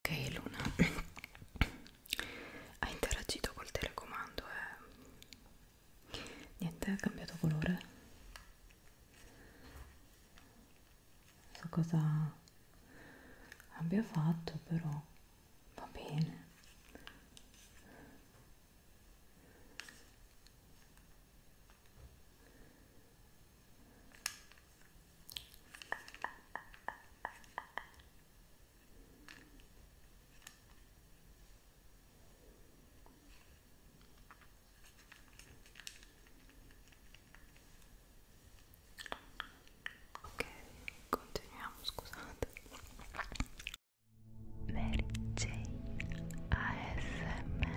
Ok Luna, ha interagito col telecomando e eh? niente, ha cambiato colore. Non so cosa abbia fatto, però va bene. Ok, continuiamo, scusate. Mary Jane ASMR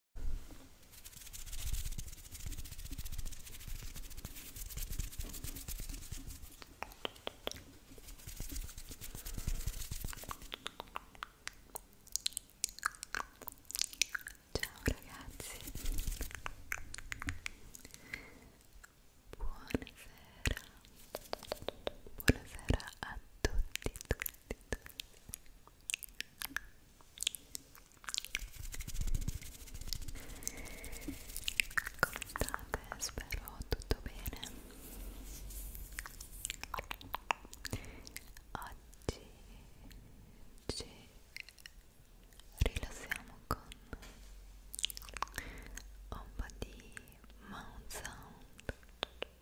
Ciao ragazzi, buonasera, buonasera a tutti, tutti, tutti. Come state? Spero tutto bene. Oggi ci rilassiamo con un po' di mount sound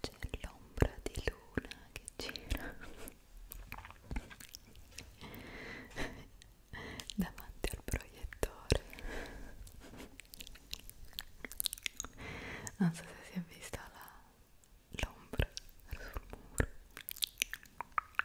C'è l'ombra di luna che gira davanti al proiettore. Non so se si è vista l'ombra sul muro.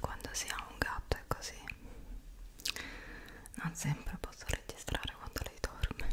Quando si ha un gatto è così, non sempre posso registrare quando lei dorme.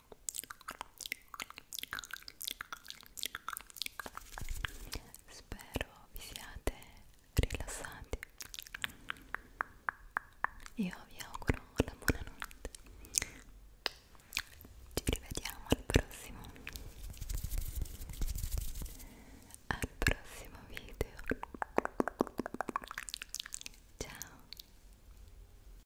spero vi siate rilassati io vi auguro una buona notte ci rivediamo al prossimo al prossimo video ciao